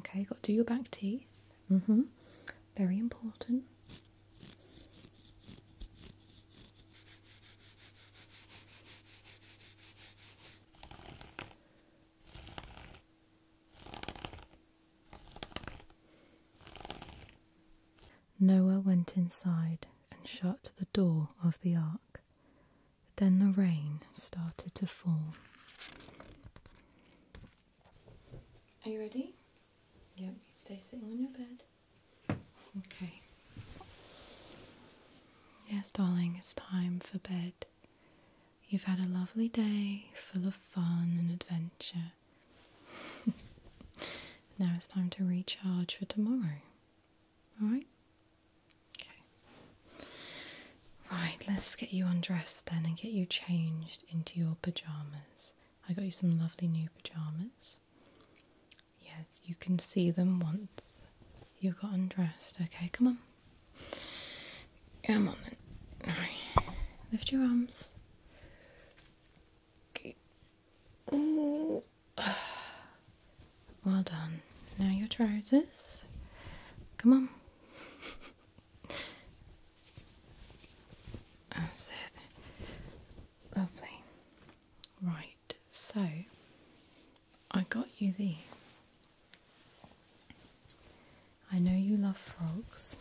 Okay, got to do your back teeth. hmm Very important. Noah went inside and shut the door of the ark. Then the rain started to fall. Are you ready? Yep, stay sitting on your bed. Okay. Yes, darling, it's time for bed. You've had a lovely day full of fun and adventure. now it's time to recharge for tomorrow. Alright? Okay. Right, let's get you undressed then and get you changed into your pajamas. I got you some lovely new pajamas. Yes, you can see them once you have got undressed. Okay, come on. Come on then. Right. Lift your arms. Okay. Well done. Now your trousers. Come on. That's it. Lovely. Right, so I got you these. I know you love frogs.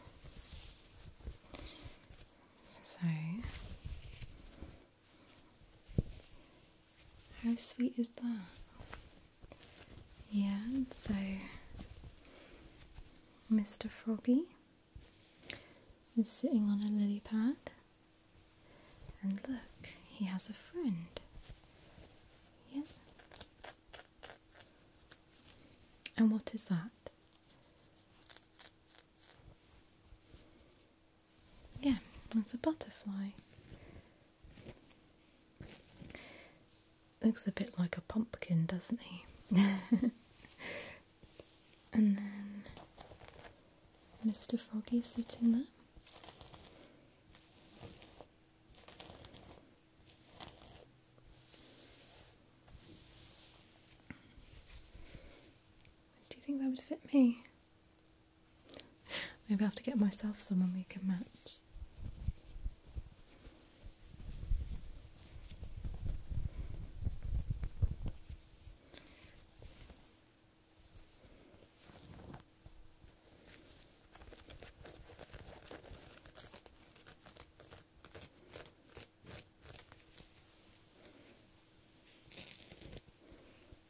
So how sweet is that? Yeah, so Mr. Froggy is sitting on a lily pad, and look, he has a friend. Yep. And what is that? Yeah, that's a butterfly. Looks a bit like a pumpkin, doesn't he? and then Mr. Froggy sitting there. Do you think that would fit me? Maybe I have to get myself someone we can match.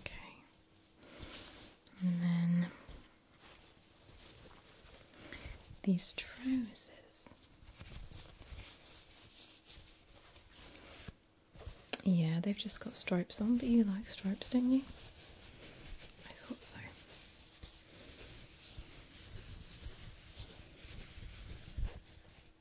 Okay. And then these trousers. Yeah, they've just got stripes on, but you like stripes, don't you? I thought so.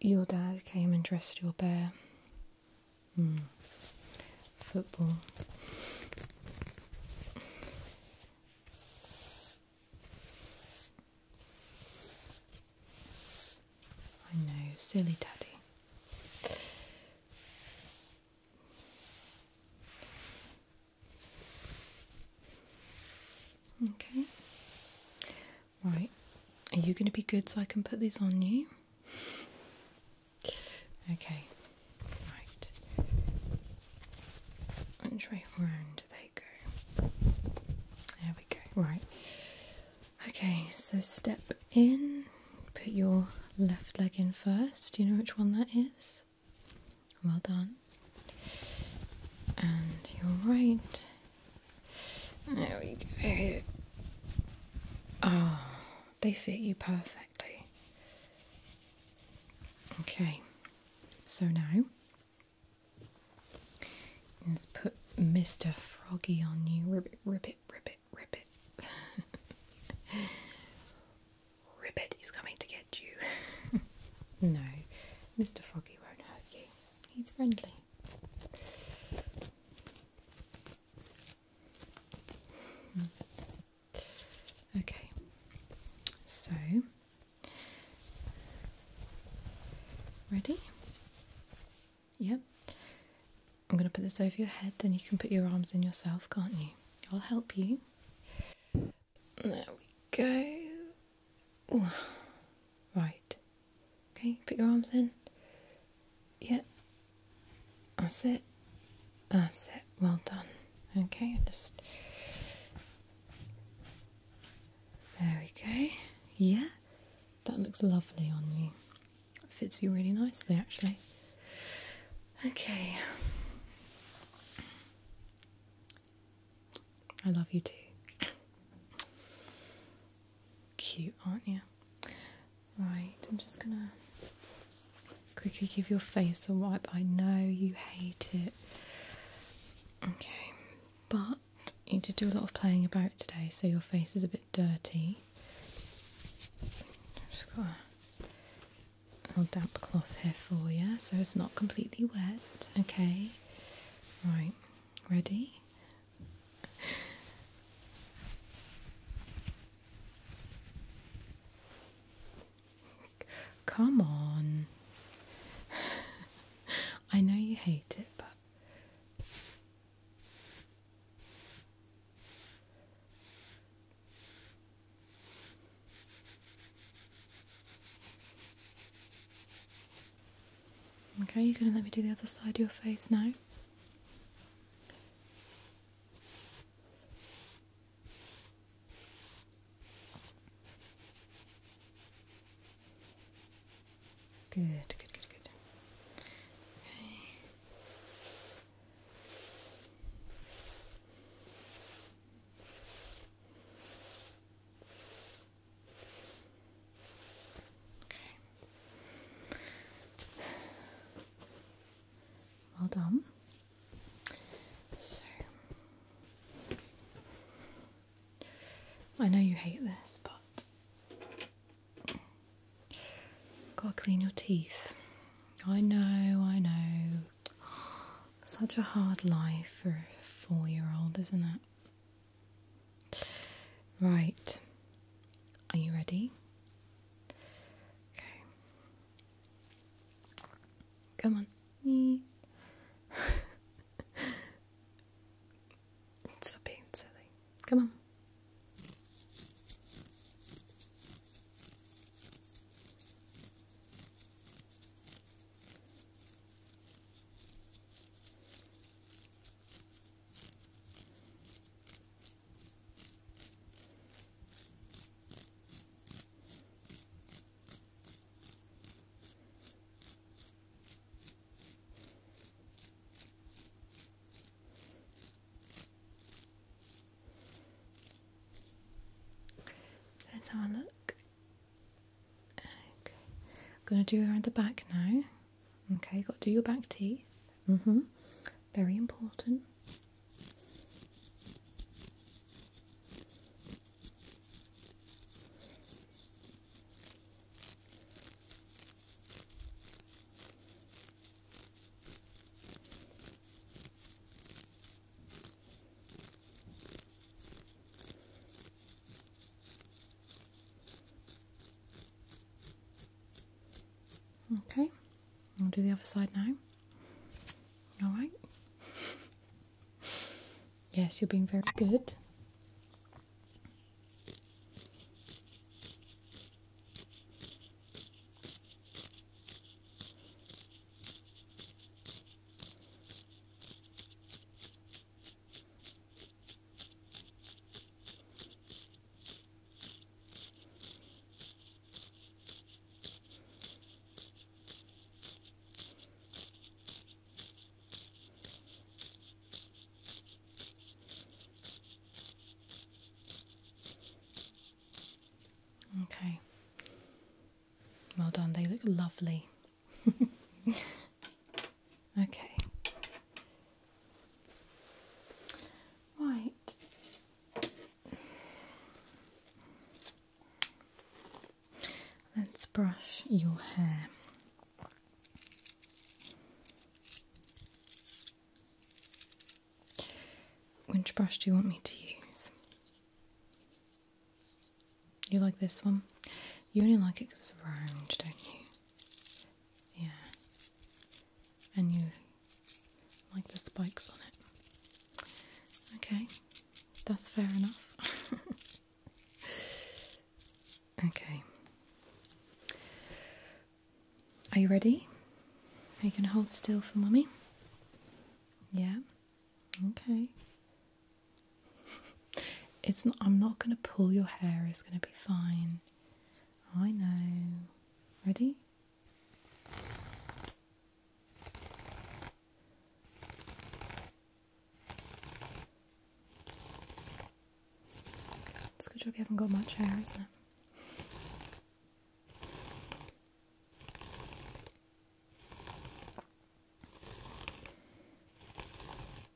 your dad came and dressed your bear. Hmm. Football. I know, silly daddy. Okay, Right, are you going to be good so I can put these on you? Okay, right. And straight round they go. There we go. Right. Okay, so step in. Put your left leg in first. Do you know which one that is? Well done. And your right. There we go. Oh, they fit you perfectly. Okay, so now let's put Mr. Froggy on you. Rip Rip it! it! Ribbit, ribbit, ribbit, ribbit. ribbit is coming to get you. no, Mr. Froggy won't hurt you. He's friendly. Hmm. okay, so ready? Yep. I'm going to put this over your head, then you can put your arms in yourself, can't you? I'll help you. There we go. Right. Okay, put your arms in. Yeah. That's it. That's sit. Well done. Okay, just. There we go. Yeah, that looks lovely on you. Fits you really nicely, actually. Okay. I love you too. Cute, aren't you? Right, I'm just gonna quickly give your face a wipe. I know you hate it. Okay, but you did do a lot of playing about today, so your face is a bit dirty. I've just got a little damp cloth here for you, so it's not completely wet. Okay, right, ready? Come on. I know you hate it, but. Okay, you're going to let me do the other side of your face now. Good, good, good, good. Okay. Okay. Well done. So, I know you hate this, but gotta clean your teeth. I know, I know. Such a hard life for a four year old, isn't it? Right. Are you ready? Okay. Come on. Stop being silly. Come on. Let's have a look. Okay, I'm going to do around the back now. Okay, you've got to do your back teeth. Mm-hmm. Very important. Okay, I'll do the other side now. Alright. yes, you're being very good. Okay. Well done, they look lovely. Okay. Right. Let's brush your hair. Which brush do you want me to use? You like this one? You only like it because it's orange, don't you? Yeah. And you like the spikes on it. Okay, that's fair enough. okay. Are you ready? Are you going to hold still for mummy? Yeah. Okay. It's not, I'm not going to pull your hair. It's going to be fine. I know. Ready? It's a good job you haven't got much hair, isn't it?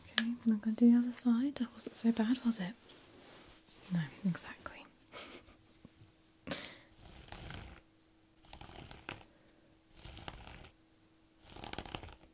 Okay, I'm gonna do the other side. That wasn't so bad, was it? No, exactly.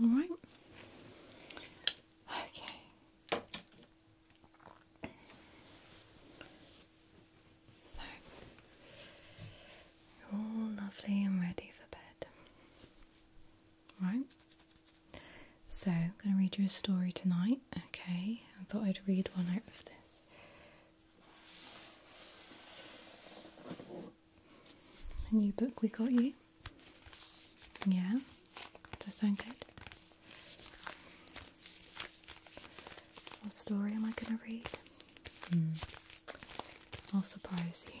All right. Okay. So all lovely and ready for bed. All right. So, I'm going to read you a story tonight, okay? I thought I'd read one out of this. A new book we got you. Yeah? Does that sound good? What story am I going to read? Hmm. I'll surprise you.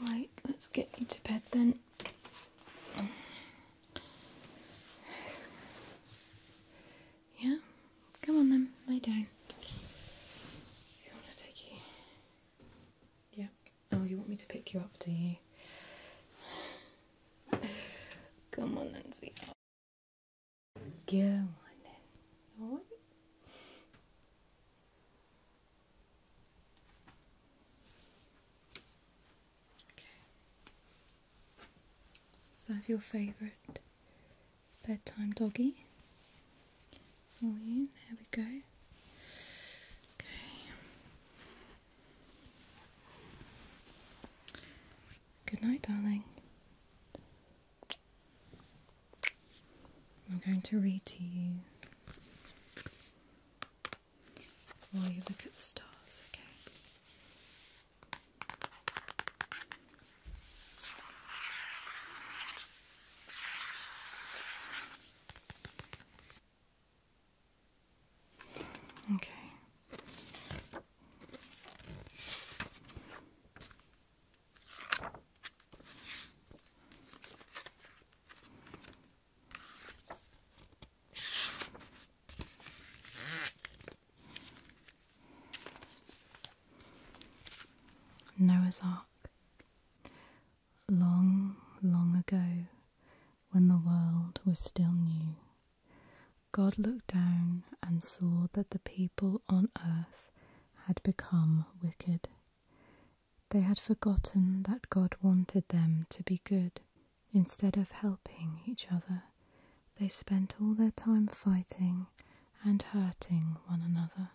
Right, let's get you to bed then. Yeah, come on then, lay down. You want to take you? Yeah. Oh, you want me to pick you up, do you? Come on then, Go on then. So I have your favourite bedtime doggy There we go. Okay. Good night, darling. I'm going to read to you while you look at the stars, okay? Okay. Noah's Ark. Long, long ago, when the world was still new, God looked down and saw that the people on earth had become wicked. They had forgotten that God wanted them to be good. Instead of helping each other, they spent all their time fighting and hurting one another.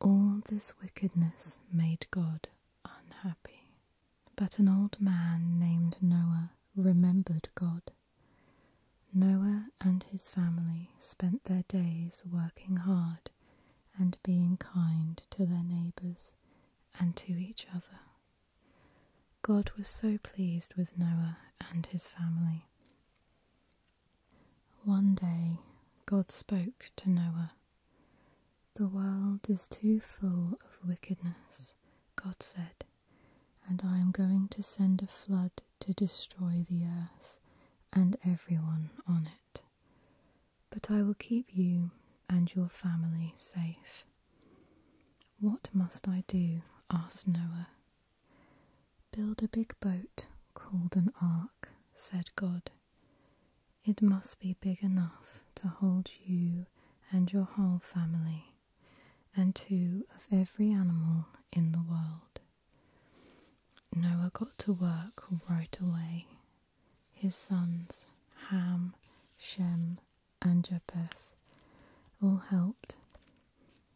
All this wickedness made God unhappy. But an old man named Noah remembered God. Noah and his family spent their days working hard and being kind to their neighbours and to each other. God was so pleased with Noah and his family. One day, God spoke to Noah. The world is too full of wickedness, God said, and I am going to send a flood to destroy the earth and everyone on it but I will keep you and your family safe. What must I do? asked Noah. Build a big boat called an ark, said God. It must be big enough to hold you and your whole family, and two of every animal in the world. Noah got to work right away his sons Ham, Shem, and Japheth all helped.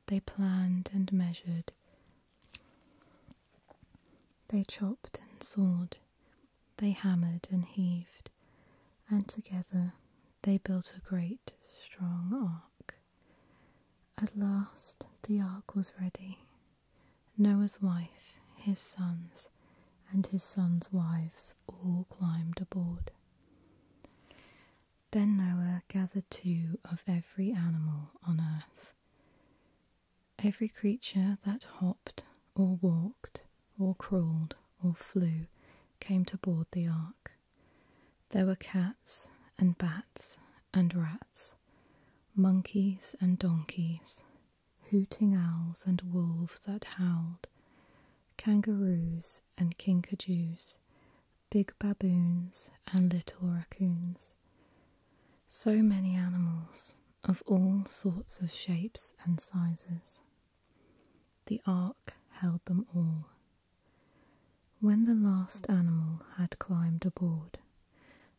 They planned and measured. They chopped and sawed. They hammered and heaved. And together they built a great, strong ark. At last the ark was ready, Noah's wife, his sons, and his sons' wives all climbed aboard. Then Noah gathered two of every animal on earth, every creature that hopped, or walked, or crawled, or flew. Came to board the ark. There were cats and bats and rats, monkeys and donkeys, hooting owls and wolves that howled, kangaroos and kinkajous, big baboons and little raccoons. So many animals of all sorts of shapes and sizes. The ark held them all. When the last animal had climbed aboard,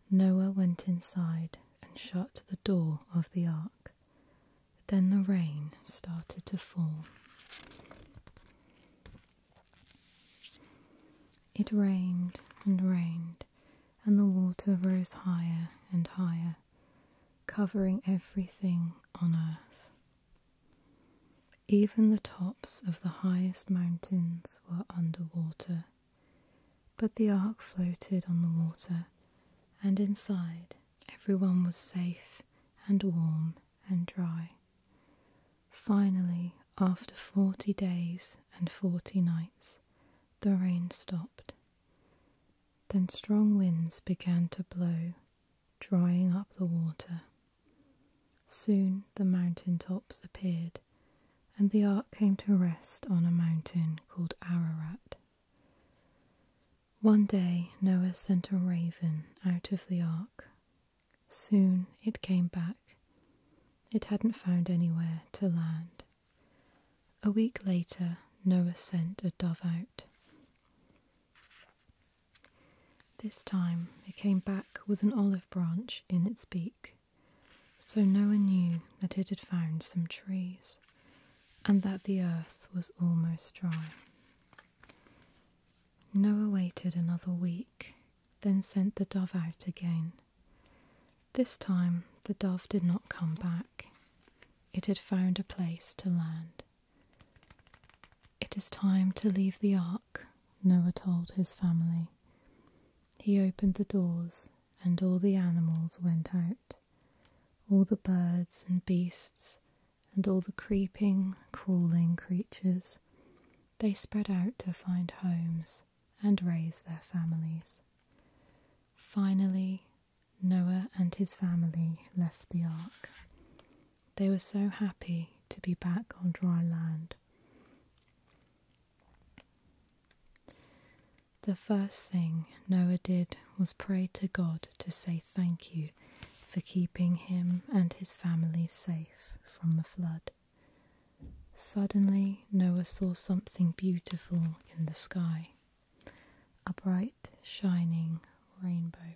Noah went inside and shut the door of the ark. Then the rain started to fall. It rained and rained, and the water rose higher and higher, covering everything on earth. Even the tops of the highest mountains were under water. But the ark floated on the water, and inside everyone was safe and warm and dry. Finally, after forty days and forty nights, the rain stopped. Then strong winds began to blow, drying up the water. Soon the mountain tops appeared, and the ark came to rest on a mountain called Ararat. One day Noah sent a raven out of the ark. Soon it came back. It hadn't found anywhere to land. A week later, Noah sent a dove out. This time it came back with an olive branch in its beak. So Noah knew that it had found some trees and that the earth was almost dry. Noah waited another week, then sent the dove out again. This time the dove did not come back. It had found a place to land. It is time to leave the ark, Noah told his family. He opened the doors and all the animals went out, all the birds and beasts, and all the creeping, crawling creatures. They spread out to find homes and raise their families. Finally, Noah and his family left the ark. They were so happy to be back on dry land. The first thing Noah did was pray to God to say thank you for keeping him and his family safe from the flood. Suddenly, Noah saw something beautiful in the sky a bright, shining rainbow.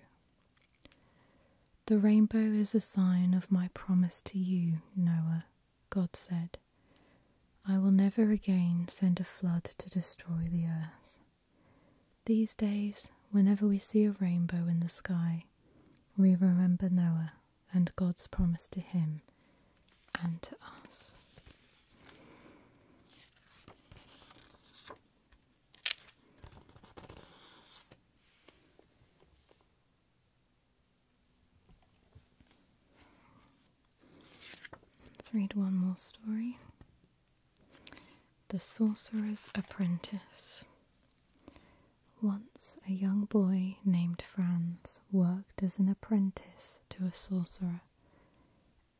The rainbow is a sign of my promise to you, Noah, God said, I will never again send a flood to destroy the earth. These days, whenever we see a rainbow in the sky, we remember Noah and God's promise to him and to us. Let's read one more story. The Sorcerer's Apprentice. Once a young boy named Franz worked as an apprentice to a sorcerer.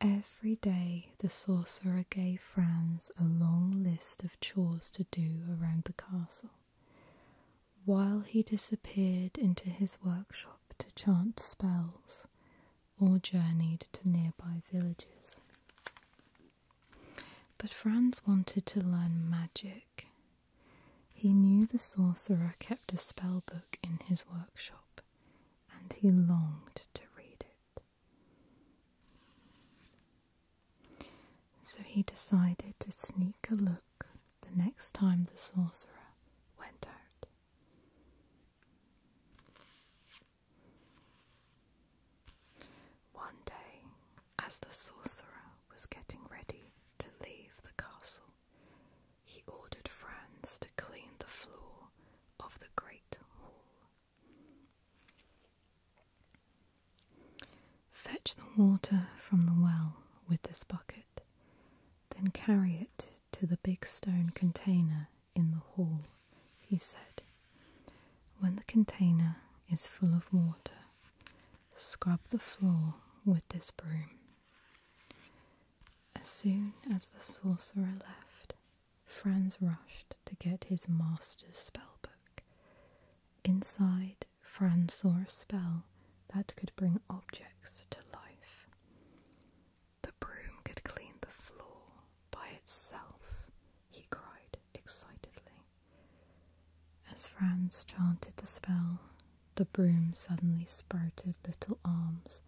Every day the sorcerer gave Franz a long list of chores to do around the castle while he disappeared into his workshop to chant spells or journeyed to nearby villages. But Franz wanted to learn magic. He knew the sorcerer kept a spell book in his workshop, and he longed to read it. So he decided to sneak a look the next time the sorcerer went out. One day, as the sorcerer was getting ready to leave the castle, he ordered Franz to clean the floor of the great hall. Fetch the water from the well with this bucket, then carry it to the big stone container in the hall, he said. When the container is full of water, scrub the floor with this broom. As soon as the sorcerer left, Franz rushed to get his master's spell book. Inside, Franz saw a spell that could bring objects to life. The broom could clean the floor by itself, he cried excitedly. As Franz chanted the spell, the broom suddenly sprouted little arms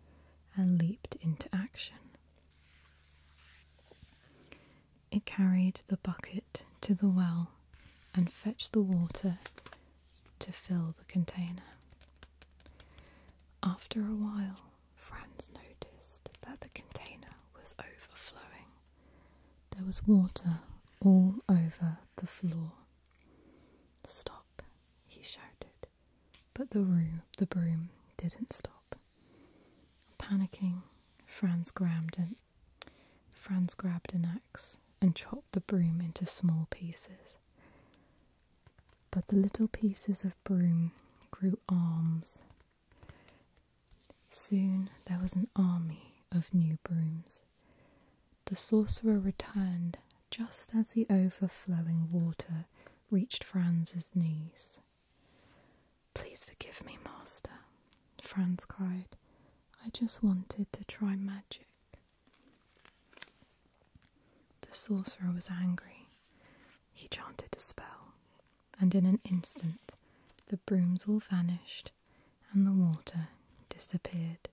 and leaped into action. It carried the bucket to the well and fetched the water to fill the container. After a while, Franz noticed that the container was overflowing. There was water all over the floor. Stop, he shouted, but the, room, the broom didn't stop. Panicking, Franz grabbed an, Franz grabbed an axe and chopped the broom into small pieces. But the little pieces of broom grew arms. Soon there was an army of new brooms. The sorcerer returned just as the overflowing water reached Franz's knees. Please forgive me, master, Franz cried. I just wanted to try magic. The sorcerer was angry. He chanted a spell, and in an instant the brooms all vanished and the water disappeared.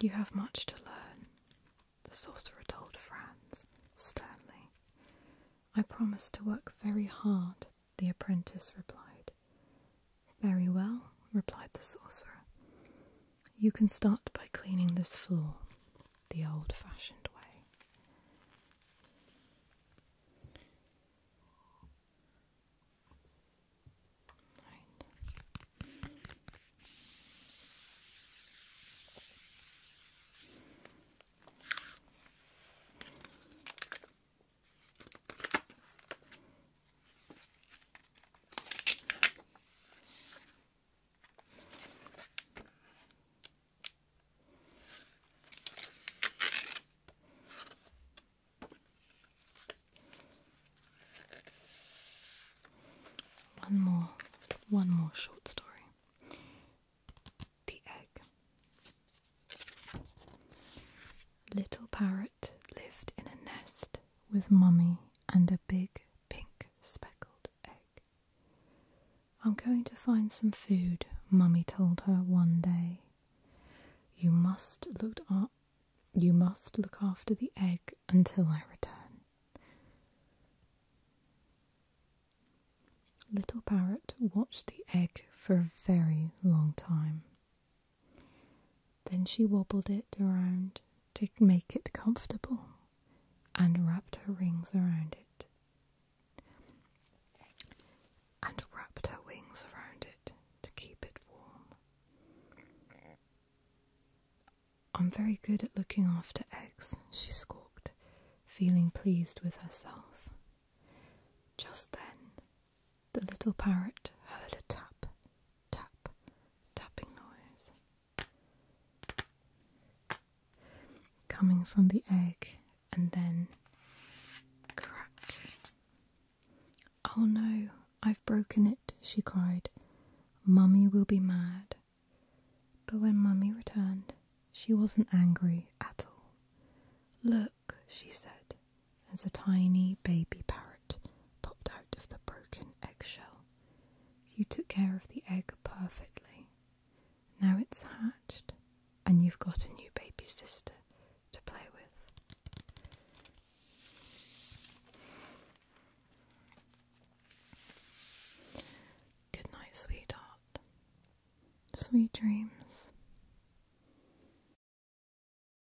You have much to learn, the sorcerer told Franz sternly. I promise to work very hard, the apprentice replied. Very well, replied the sorcerer. You can start by cleaning this floor the old fashioned way. One more, one more short story. The egg. Little parrot lived in a nest with mummy and a big pink speckled egg. I'm going to find some food, mummy told her one day. You must look up you must look after the egg until I return. Little parrot watched the egg for a very long time. Then she wobbled it around to make it comfortable and wrapped her rings around it. And wrapped her wings around it to keep it warm. I'm very good at looking after eggs, she squawked, feeling pleased with herself. Just then, the little parrot heard a tap tap, tapping noise coming from the egg and then crack. Oh no, I've broken it, she cried. Mummy will be mad. But when Mummy returned, she wasn't angry at all. Look, she said, as a tiny baby parrot popped out of the broken eggshell. You took care of the egg perfectly. Now it's hatched, and you've got a new baby sister to play with. Good night, sweetheart. Sweet dreams.